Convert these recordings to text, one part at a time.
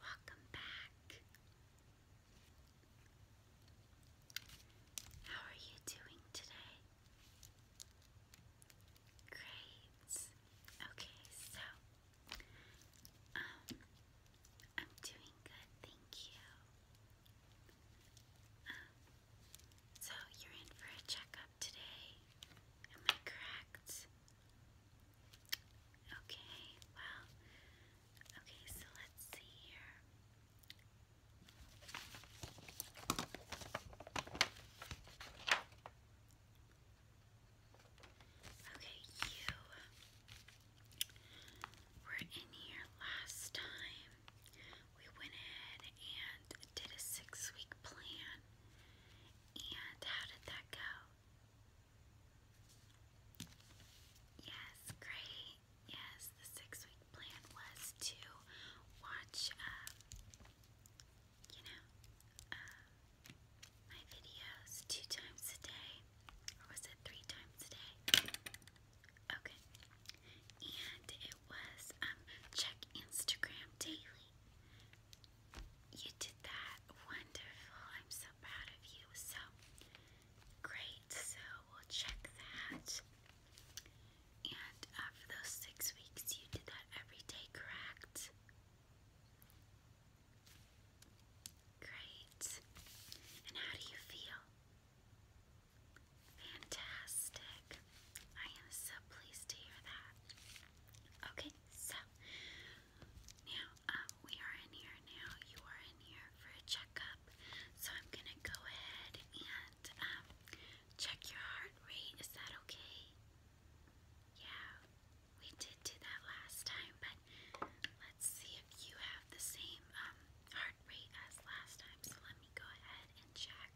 Hi, welcome back. How are you doing today? Great. Okay, so um I'm doing good, thank you. So you're in for a checkup today. Am I correct? Okay, well, okay, so let's see here. Okay, you were in here last time, we went in and did a six week plan. And how did that go? Yes, great. Yes, the six week plan was to watch, um, you know, um, my videos two times a day. Or was it three times a day? Okay. And it was um, check Instagram daily. You did that. Wonderful. I'm so proud of you. So great. So we'll check that. And uh, those six weeks, you did that every day, correct? Great. And how do you feel? Fantastic. I am so pleased to hear that. Okay, so now uh, we are in here now. You are in here for a checkup. So I'm going to go ahead and um, check your heart rate. Is that okay? Yeah, we did do that last time, but let's see if you have the same um, heart rate as last time, so let me go ahead and check.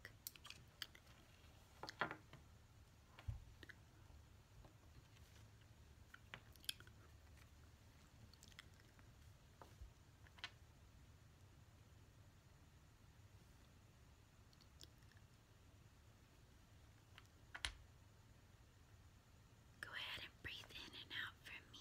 Go ahead and breathe in and out for me.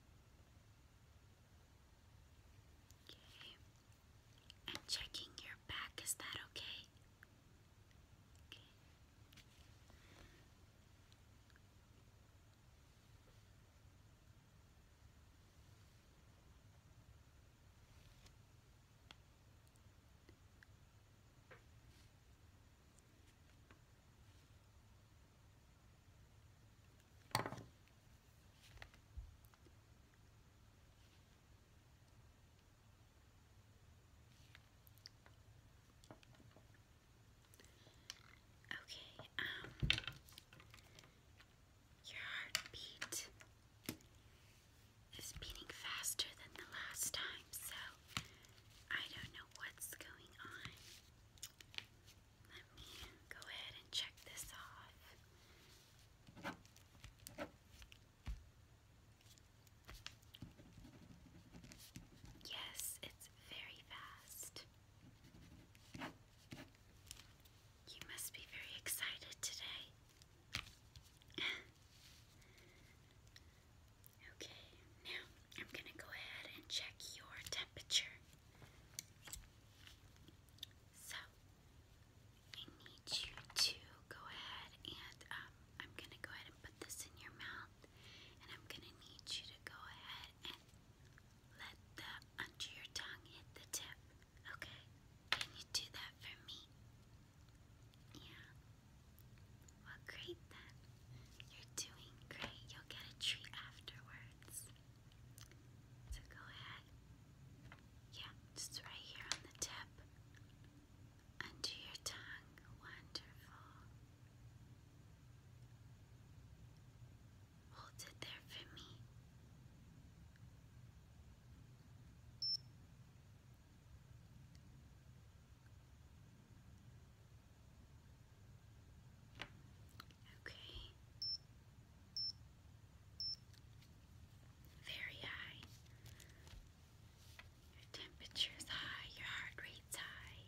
Okay. And checking your back, is that Okay. Okay, um, your heartbeat is beating faster than the last time, so I don't know what's going on. Let me go ahead and check this off. Yes, it's very fast. You must be very excited today. okay, now I'm going to go ahead and check your temperature. So I need you to go ahead and um, I'm gonna go ahead and put this in your mouth, and I'm gonna need you to go ahead and let the under your tongue hit the tip. Okay? Can you do that for me? Yeah. Well, great then. You're doing great. You'll get a treat afterwards. So go ahead. Yeah, just right here on the tip. Under your tongue. Wonderful. Hold it there for me. Okay. Very high. Your temperature's high, your heart rate's high.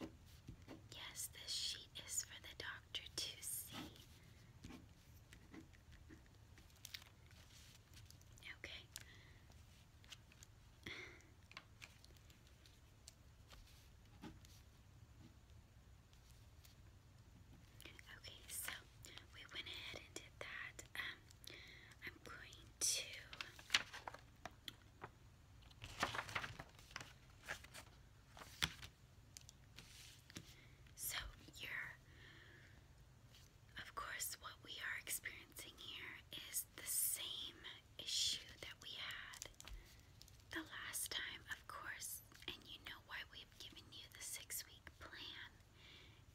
Uh, yes, this sheet is for the doctor to see. Okay. Okay, so we went ahead and did that. Um, I'm going to. So your of course, what we are experiencing here is the same issue that we had the last time, of course, and you know why we've given you the six week plan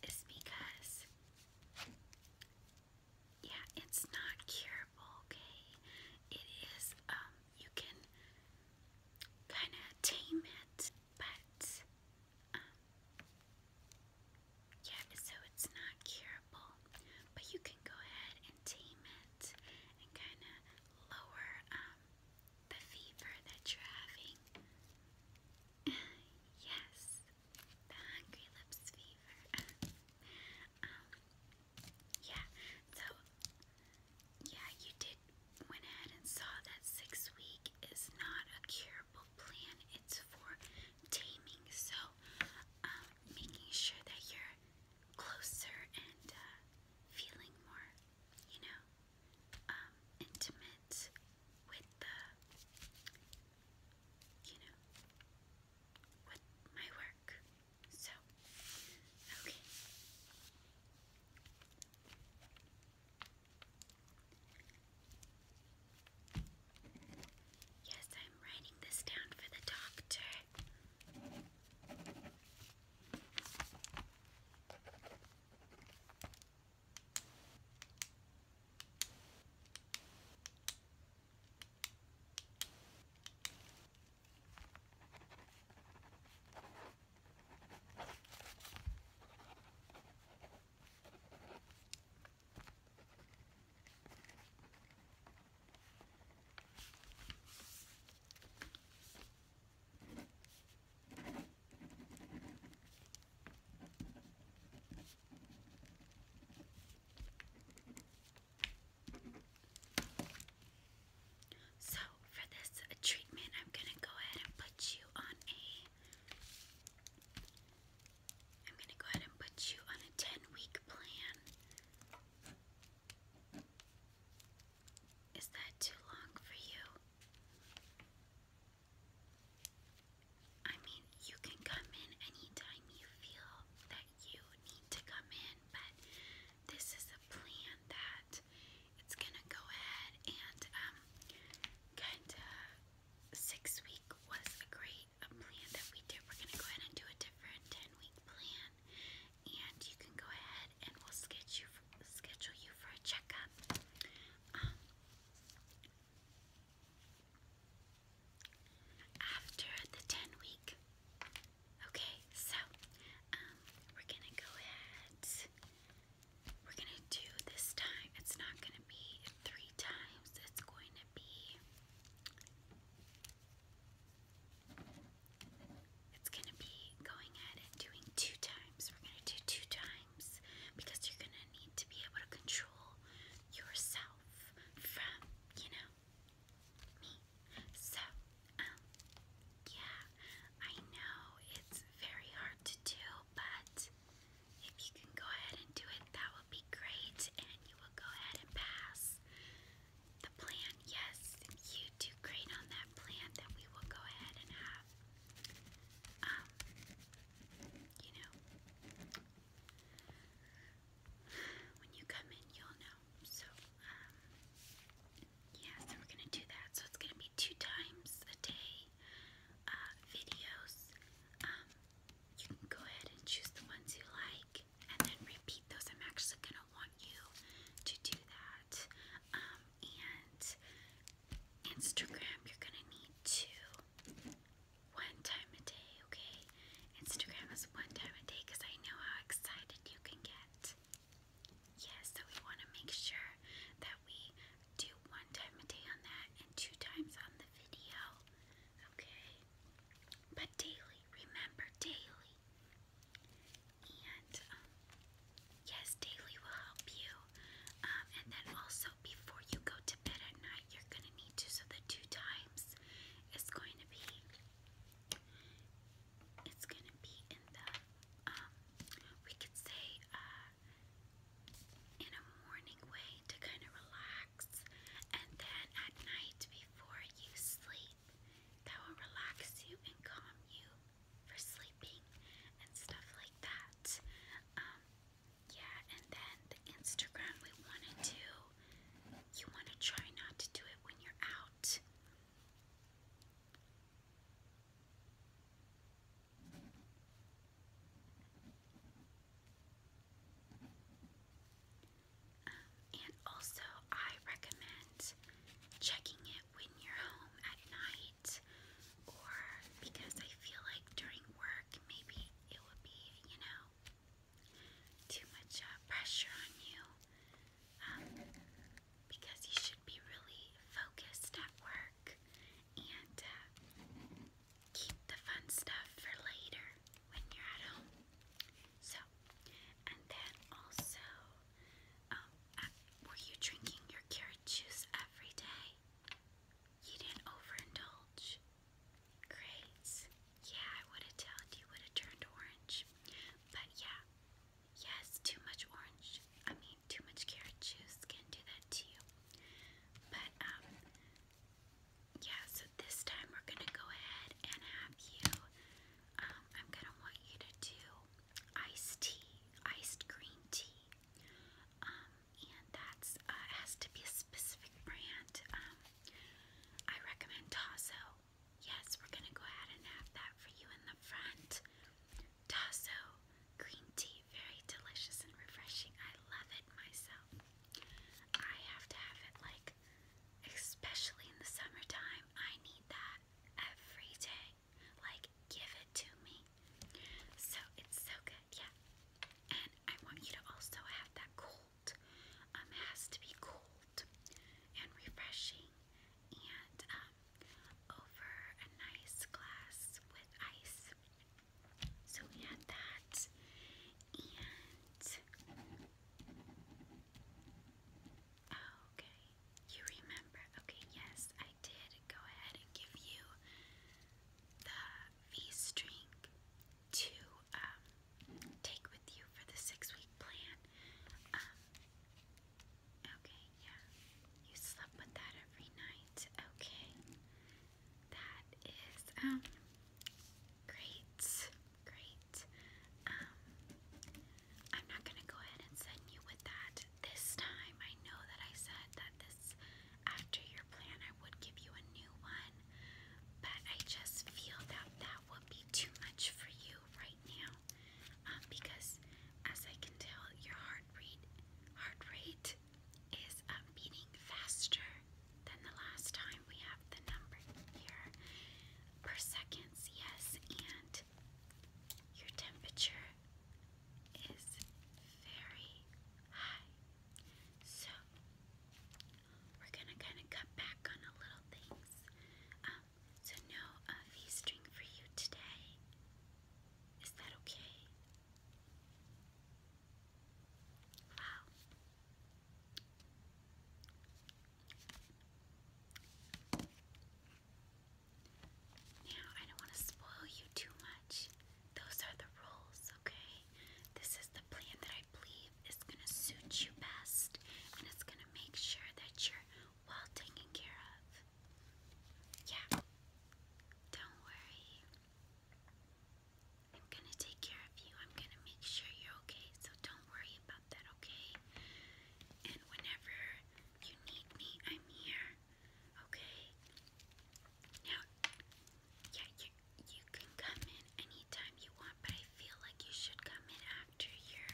is because, yeah, it's not curable, okay? It is, um, you can kind of tame it, but, um, yeah, so it's not curable, but you can go ahead and tame it and kind of lower um, the fever that you're having. yes, the Hungry Lips fever. Um, yeah, so, yeah, you did went ahead and saw that six week is not a cure herbal plan. It's for taming, so um, making sure that you're closer and uh, feeling more, you know, um, intimate with the, you know, with my work. So, okay. Yes, I'm writing this down for the doctor. So, for this treatment, I'm going to go ahead and put you on a I'm going to go ahead and put you on a 10 week plan. Is that too long for you? I mean, you can come in anytime you feel that you need to come in, but this is a plan that it's gonna go ahead and um, kind of six week was a a plan that we did. We're going to go ahead and do a different 10 week plan. And you can go ahead and we'll schedule you for a checkup. Um, after the 10 week. Okay, so um, we're gonna go ahead. We're gonna do this time. It's not gonna be three times. It's going it's going to be going at it doing two times. We're going to do two times because you're going to need to be able to control yourself from, you know, So, um, yeah, I know it's very hard to do but if you can go ahead and do it, that would be great, and you will go ahead and pass the plan. Yes, you do great on that plan that we will go ahead and have. Um, you know, when you come in, you'll know. So, um, we're gonna do that. So it's gonna be two times a day uh, videos. Um, you can go ahead and choose the ones you like and then repeat those. I'm actually going to want you to do that. Um, and Instagram, you're going to need to one time a day, okay? Instagram is one time a day because I know how excited you can get. Yes, so we want to make sure that we do one time a day on that and two times on the video. Okay? But daily, remember daily. And um, yes, daily will help you. Um, and then also before you go to bed at night, you're going to need to. So the two times is going to be. It's going to be in the, um, we could say, uh, in a morning way to kind of relax and then at night before you sleep, that will relax you and calm you for sleeping and stuff like that. Um, yeah, and then Instagram we want to do, you want to try not to do it when you're out. Um, and also, I recommend checking it when you're home at night, or because I feel like during work maybe it would be, you know, too much uh, pressure on you. Um, because you should be really focused at work and uh, keep the fun stuff for later when you're at home. So, and then also, um, uh, were you drinking your carrot juice every day? You didn't overindulge. Great. Yeah, I would have told you would have turned orange. But yeah, yes, too much orange. I mean, too much carrot juice can do that to you. But um, yeah, so this time we're gonna go ahead and have you. Um, I'm gonna want you to do iced tea, iced green tea, um, and that's uh, has to be a specific brand. Um, I recommend Tasso. Yes, we're gonna go ahead and have that for you in the front. Tasso green tea, very delicious and refreshing. I love it myself. I have to have it like, especially in the summertime, I need that every day. Like, give it to me. So it's so good, yeah. And I want you to also have that cold. Um, it has to be cold and refreshing and um, over a nice glass with ice. So we had that, and okay, you remember? Okay, yes, I did go ahead and give you the V string to um, take with you for the six-week plan. Um, okay, yeah, you slept with that every night. Okay that is um great, great. Um, I'm not gonna go ahead and send you with that this time. I know that I said that this after your plan I would give you a new one, but I just feel that that would be too much for you right now. Um, because as I can tell, your heart rate, heart rate is uh, beating faster than the last time. We have the number here per seconds, yes, and your temperature is very high. So we're gonna kind of cut back on a little things. Um, so no uh, V string for you today. Is that okay? Wow. Now, I don't want to spoil you too much. Those are the rules, okay? This is the plan that I believe is going to suit you best and it's going to make sure that you're well taken care of. Yeah. Don't worry. I'm gonna take care of you. I'm gonna make sure you're okay, so don't worry about that, okay? And whenever you need me, I'm here, okay? Now, yeah, you, you can come in anytime you want, but I feel like you should come in after your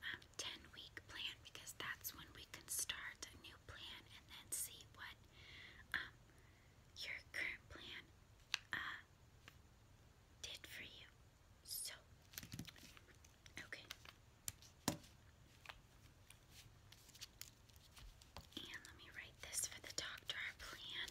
um, 10 week plan because that's when we can start a new plan and then see what. Um, your current plan uh, did for you. So, okay. And let me write this for the doctor, plan.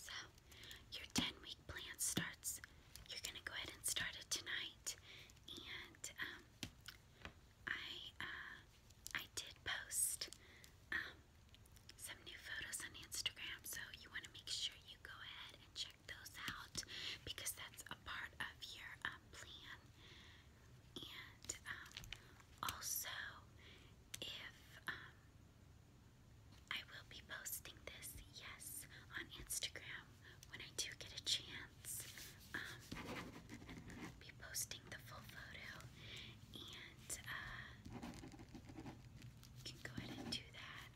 So, your 10 week plan starts. You're going to go ahead and start it tonight. And um, I uh, I did post um, some new photos on Instagram, so you want to make sure you go ahead and check those out because that's a part of your um, plan. And um, also, if I will be posting this, yes, on Instagram when I do get a chance. be posting the full photo, and uh, you can go ahead and do that.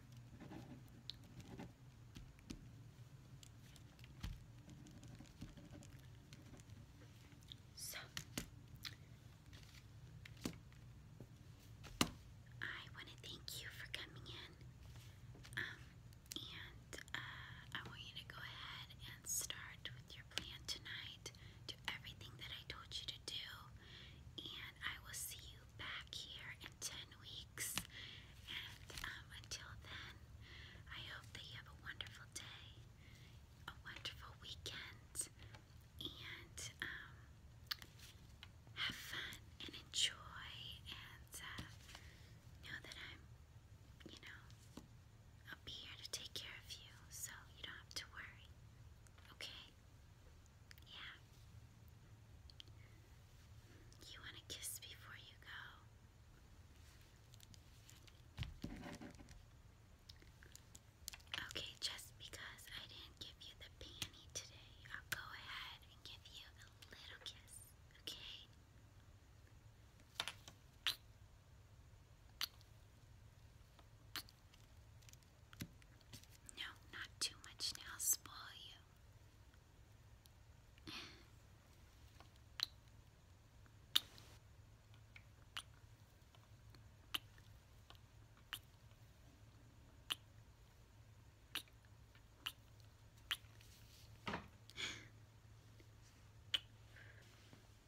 So, I want to thank you for coming in, um, and uh, I want you to go ahead and start with your your plan tonight. Do everything that I told you to do. And I will see you back here in 10 weeks. And um, until then, I hope that you have a wonderful day, a wonderful weekend, and um, have fun and enjoy. And uh, know that I'm, you know, I'll be here to take care of you, so you don't have to worry. Okay? Yeah. You want a kiss before you go? Okay, just because I didn't give you the panty today, I'll go ahead and give you a little kiss, okay? No, not too much now, spoil you.